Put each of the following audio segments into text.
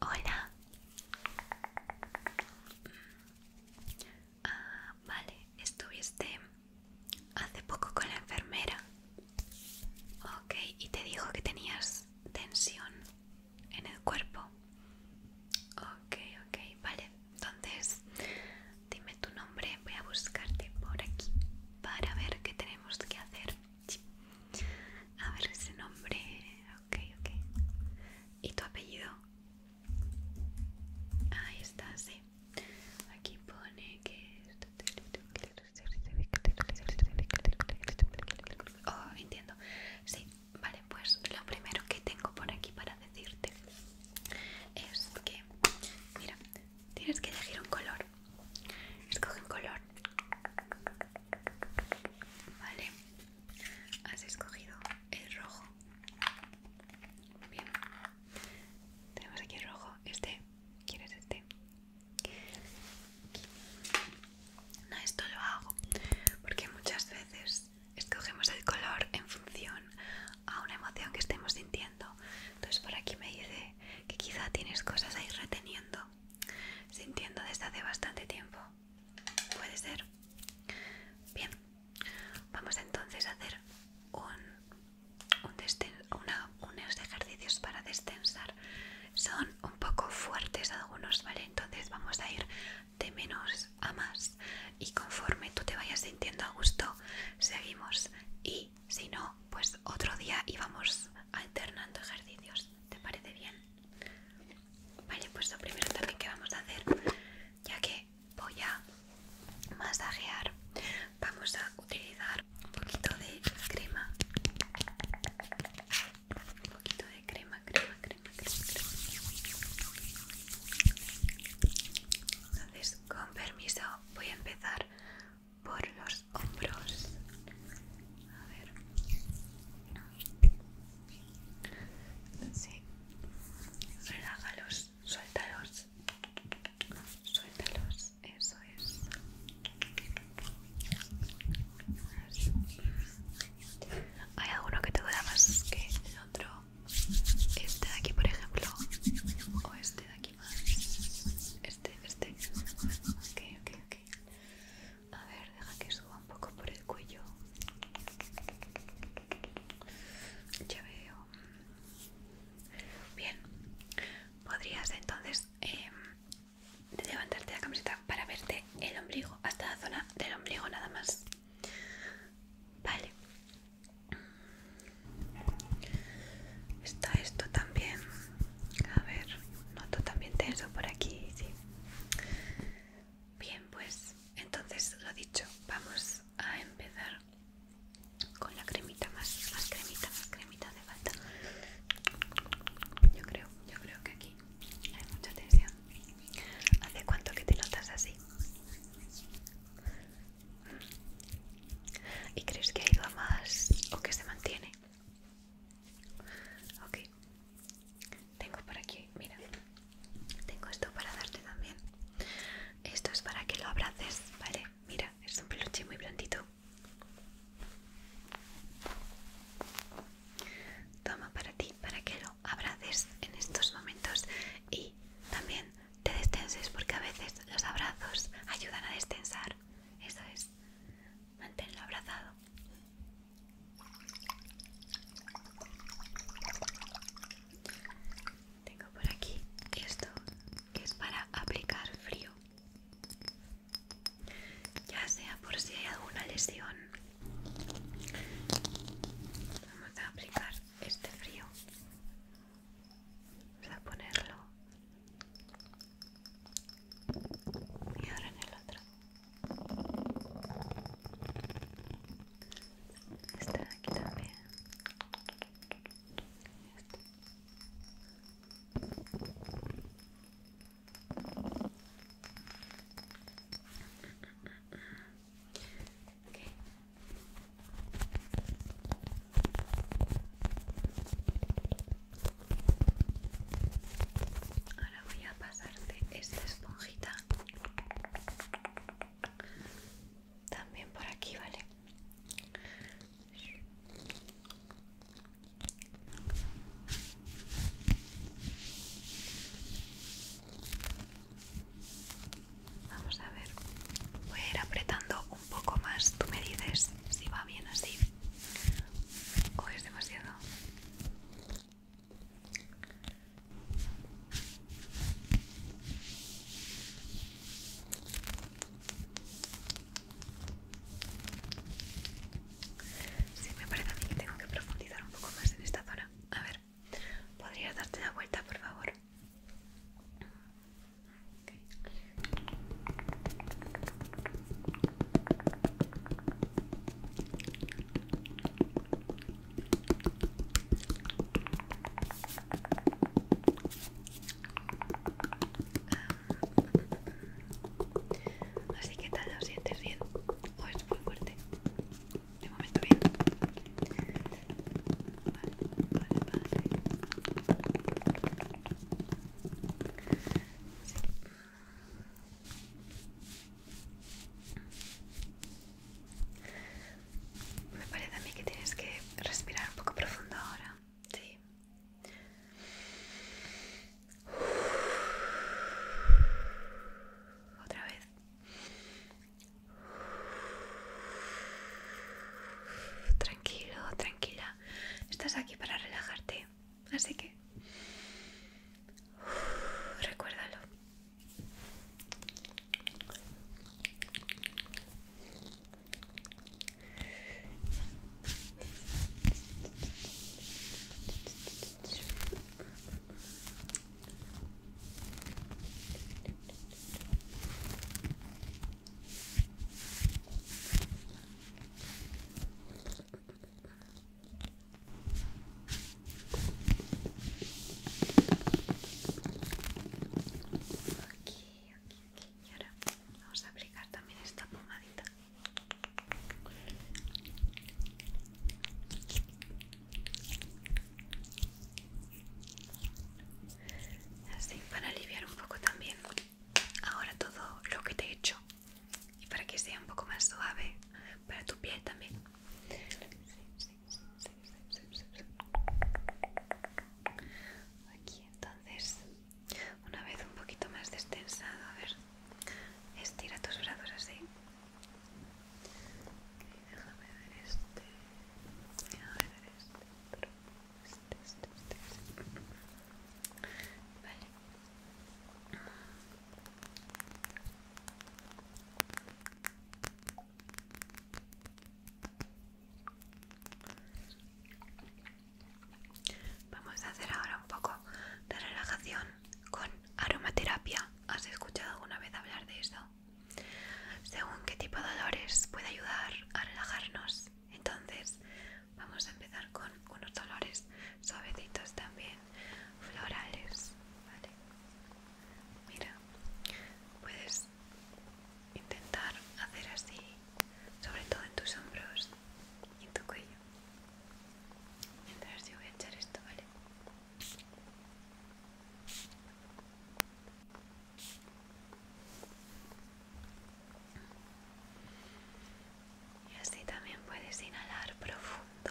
Hola. Ah, vale, estuviste hace poco con la enfermera. Ok, y te dijo que tenías tensión en el cuerpo. Ok, ok, vale. Entonces, dime tu nombre, voy a buscarte por aquí para ver qué tenemos que qué hacer. A ver ese nombre. Ok, ok. ¿Y tu apellido? Ahí está, sí. Aquí pone que... Oh, entiendo. Sí, vale, pues lo primero que tengo por aquí para decirte es que... Mira, tienes que elegir un color. Escogen Escoge un color. Vale. Has escogido el rojo. Bien. Tenemos aquí el rojo. Este. ¿Quieres este? No, esto lo hago porque muchas veces escogemos el color en función a una emoción que estemos sintiendo entonces por aquí me dice que quizá tienes cosas ahí reteniendo, sintiendo desde hace bastante tiempo. Puede ser. Bien, vamos entonces a hacer un, un unos ejercicios para destensar. Son un poco fuertes algunos, ¿vale? Entonces vamos a ir de menos a más y conforme tú te vayas sintiendo a gusto, seguimos y si no, pues otro día íbamos alternando ejercicios. ¿Te parece bien? Vale, pues lo primero también que vamos a hacer, ya que voy a masajear, vamos a utilizar un poquito de crema. Un poquito de crema, crema, crema, crema, crema. Entonces, con permiso, voy a empezar por los hombros. A ver. si Relájalos, suéltalos. Suéltalos, eso es. Hay alguno que te duela más que el otro. Este de aquí, por ejemplo, o este de aquí. Este, este. Ok, ok, ok. A ver, deja que suba un poco por el cuello. Ya veo. Bien. Podrías entonces em, levantarte la camiseta para verte el ombligo, hasta la zona del ombligo nada más. Vale. Está esto también. A ver, noto también tenso por aquí, sí. Bien, pues entonces lo dicho, vamos a empezar con la cremita más, cremita, más cremita de falta. Yo creo, yo creo que aquí hay mucha tensión. ¿Hace cuánto que te notas así? ¿Y crees que ha ido más o que se mantiene? Ok. Tengo por aquí, mira. Tengo esto para darte también. Esto es para que lo abraces, ¿vale? Mira, es un peluche muy blandito. Toma para ti, para que lo abraces en estos momentos y también te destenses porque a veces los abrazos ayudan a destensar. Eso es, manténlo abrazado. Tengo por aquí esto que es para aplicar frío. Ya sea por si hay alguna lesión. Vamos a aplicar este frío Vamos a ponerlo y ahora en el otro. Este de aquí también. Este. Ahora voy a pasarte esta esponjita también por aquí, ¿vale? Vamos a ver. Voy a ir apretando un poco más. Tú me dices si va bien así o es demasiado. Sí, me parece a mí que tengo que profundizar un poco más en esta zona. A ver. Podría ¿Podrías darte la vuelta, por favor? Así que tal, lo sientes bien o es muy fuerte de momento bien Me parece a mí que tienes que respirar un poco profundo ahora. Sí. Otra vez. Tranquilo, tranquila. Estás aquí para relajarte. Así que recuérdalo. Aquí, aquí, aquí. Y ahora vamos a aplicar también esta pomadita. Así, para aliviar un poco también ahora todo lo que te he hecho y para que sea un poco más suave para tu piel también. Aquí entonces, una vez un poquito más destensado, a ver, estira tus brazos así ver este. Vamos a hacer ahora un poco de relajación con aromaterapia. ¿Has escuchado alguna vez hablar de eso? Según qué tipo de dolores puede ayudar a relajarnos. Entonces, vamos a empezar con unos dolores suavecitos también, florales. ¿vale? Mira, puedes intentar hacer así, sobre todo en tus hombros y en tu cuello. Mientras yo voy a echar esto, ¿vale? Y así también puedes inhalar profundo.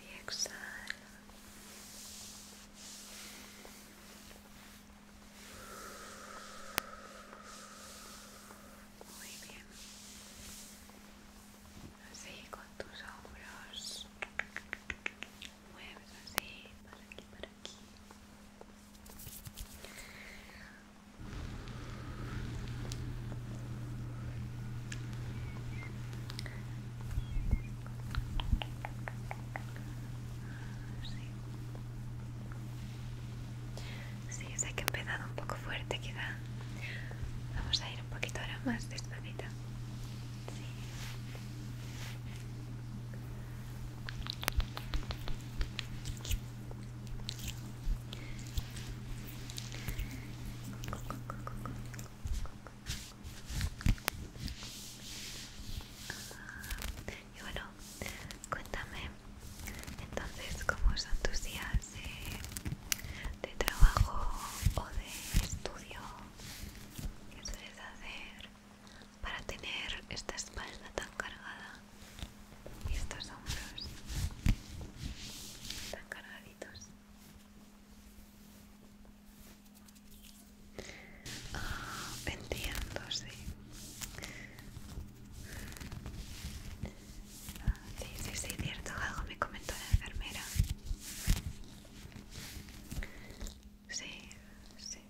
Y exhala. Muy bien así con tus hombros mueves así para aquí para aquí Sí, sé que he empezado un poco fuerte quizá. Vamos a ir un poquito ahora más despacito. Ah, y bueno, cuéntame entonces, como son tus días de, trabajo o de estudio, ¿qué sueles hacer para tener esta espalda tan cargada y estos hombros tan cargaditos? Ah, entiendo, sí. Ah, sí, sí, sí, cierto, algo me comentó la enfermera. Sí, sí.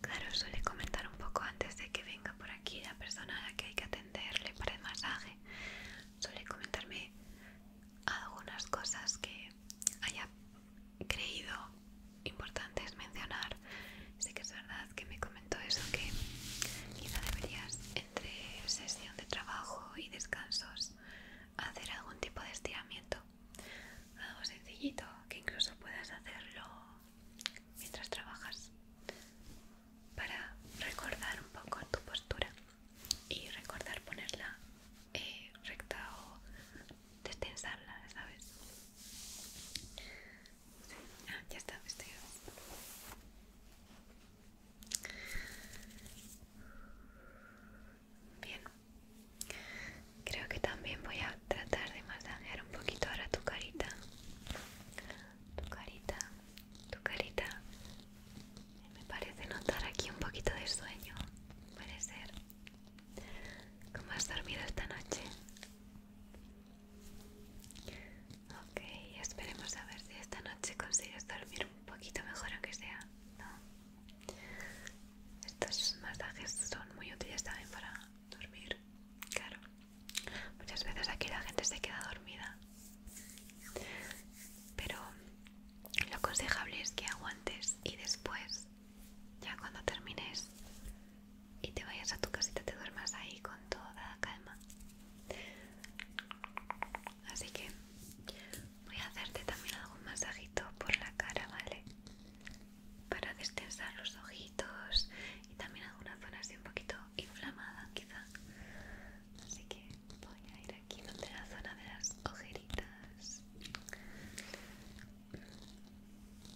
Claro, suele comentar un poco antes de que venga por aquí la persona a la que hay que atenderle para el masaje. Suele comentarme algunas cosas que haya creído importantes mencionar Sé Sí que es verdad que me comentó eso, que quizá deberías entre sesión de trabajo y descansos hacer algún tipo de estiramiento. Algo sencillito, que incluso puedas hacerlo mientras trabajas para recordar un poco tu postura y recordar ponerla eh, recta o destensarla, ¿sabes? Ah, ya está, vestido. Bien. Creo que también voy a tratar de masajear un poquito ahora tu carita. Tu carita, tu carita. Me parece notar aquí un poquito de sueño. Puede ser. ¿Cómo has dormido esta noche? Ok, esperemos a ver si esta noche consigues dormir un poquito mejor aunque sea, Estos masajes son muy útiles también para dormir, claro. Muchas veces aquí la gente se queda dormida. Pero lo aconsejable es que aguantes y después, ya cuando termines, y te vayas a tu casita, te duermas ahí con toda calma. Así que voy a hacerte también algún masajito por la cara, ¿vale? Para destensar los ojitos y también alguna zona así un poquito inflamada, quizá. Así que voy a ir aquí donde la zona de las ojeritas.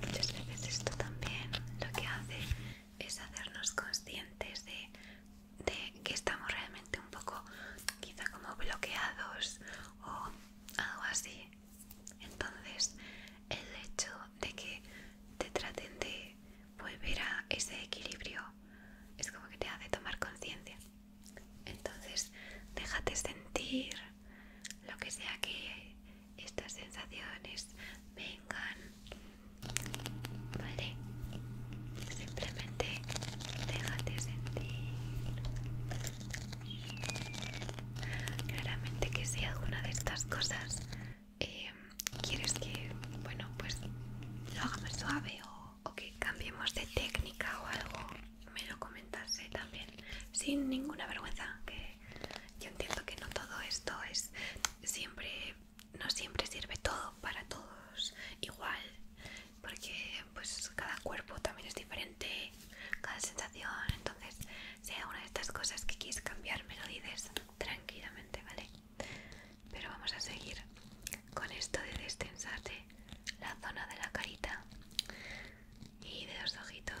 Muchas veces esto también lo que hace es hacernos conscientes de, que estamos realmente un poco quizá como bloqueados o algo así. Entonces el hecho de que te traten de volver a ese equilibrio es como que te hace tomar conciencia. Entonces déjate sentir lo que sea que estas sensaciones vengan, ¿vale? Simplemente déjate sentir. Claramente que si alguna de estas cosas em, quieres que, bueno, pues lo haga más suave o, que cambiemos de técnica o algo, me lo comentase también, sin ninguna vergüenza, que yo entiendo que no todo esto es siempre, no siempre sirve todo para todos igual, porque pues cada cuerpo también es diferente, cada sensación. Entonces, sea una de estas cosas que quieres cambiar, me lo dices tranquilamente, ¿vale? Pero vamos a seguir con esto de destensarte la zona de la carita y de los ojitos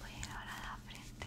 Voy a ir ahora a la frente.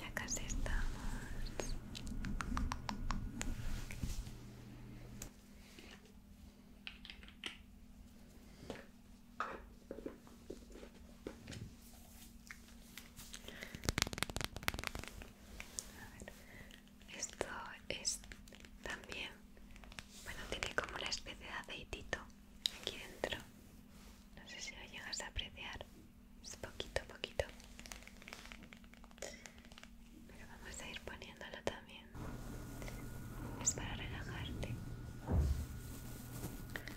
Ya casi estamos. A Esto es también, bueno, tiene como la especie de aceitito aquí dentro. No sé si lo llegas a apreciar. Es poquito a poquito. Pero vamos a ir poniéndolo también. Es para relajarte.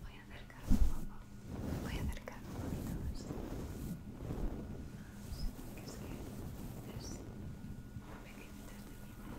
Voy a acercar un poco, voy a acercar un poquito más. más que es que es pequeñitas de mi mano.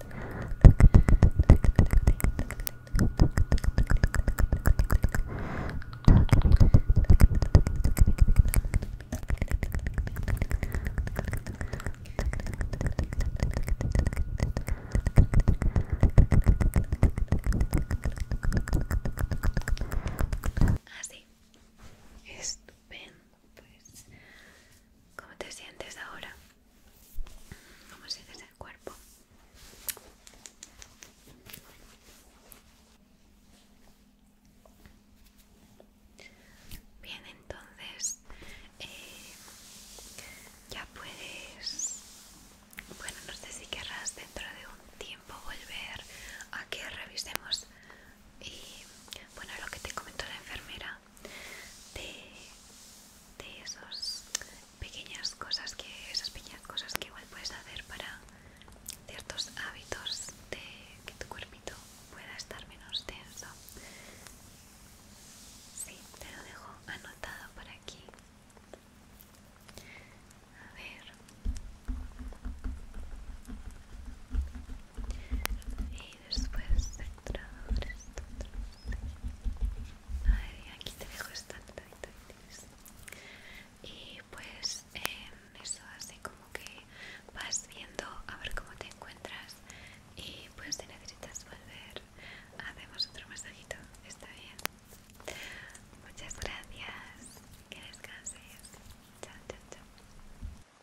Así, estupendo pues cómo te sientes ahora, cómo sientes el cuerpo. Bien, entonces eh, ya puedes, bueno, no sé si querrás dentro de un tiempo volver a que revisemos y eh, bueno, lo que te comentó la enfermera de, esas pequeñas cosas que esas pequeñas cosas que igual puedes hacer para ciertos hábitos de que tu cuerpito pueda estar menos tenso sí te lo dejo anotado por aquí a ver y después entrador aquí te dejo esta y pues eso así como que vas viendo a ver cómo te encuentras y pues si necesitas volver hacemos otro masajito está bien muchas gracias que descanses chao chao chao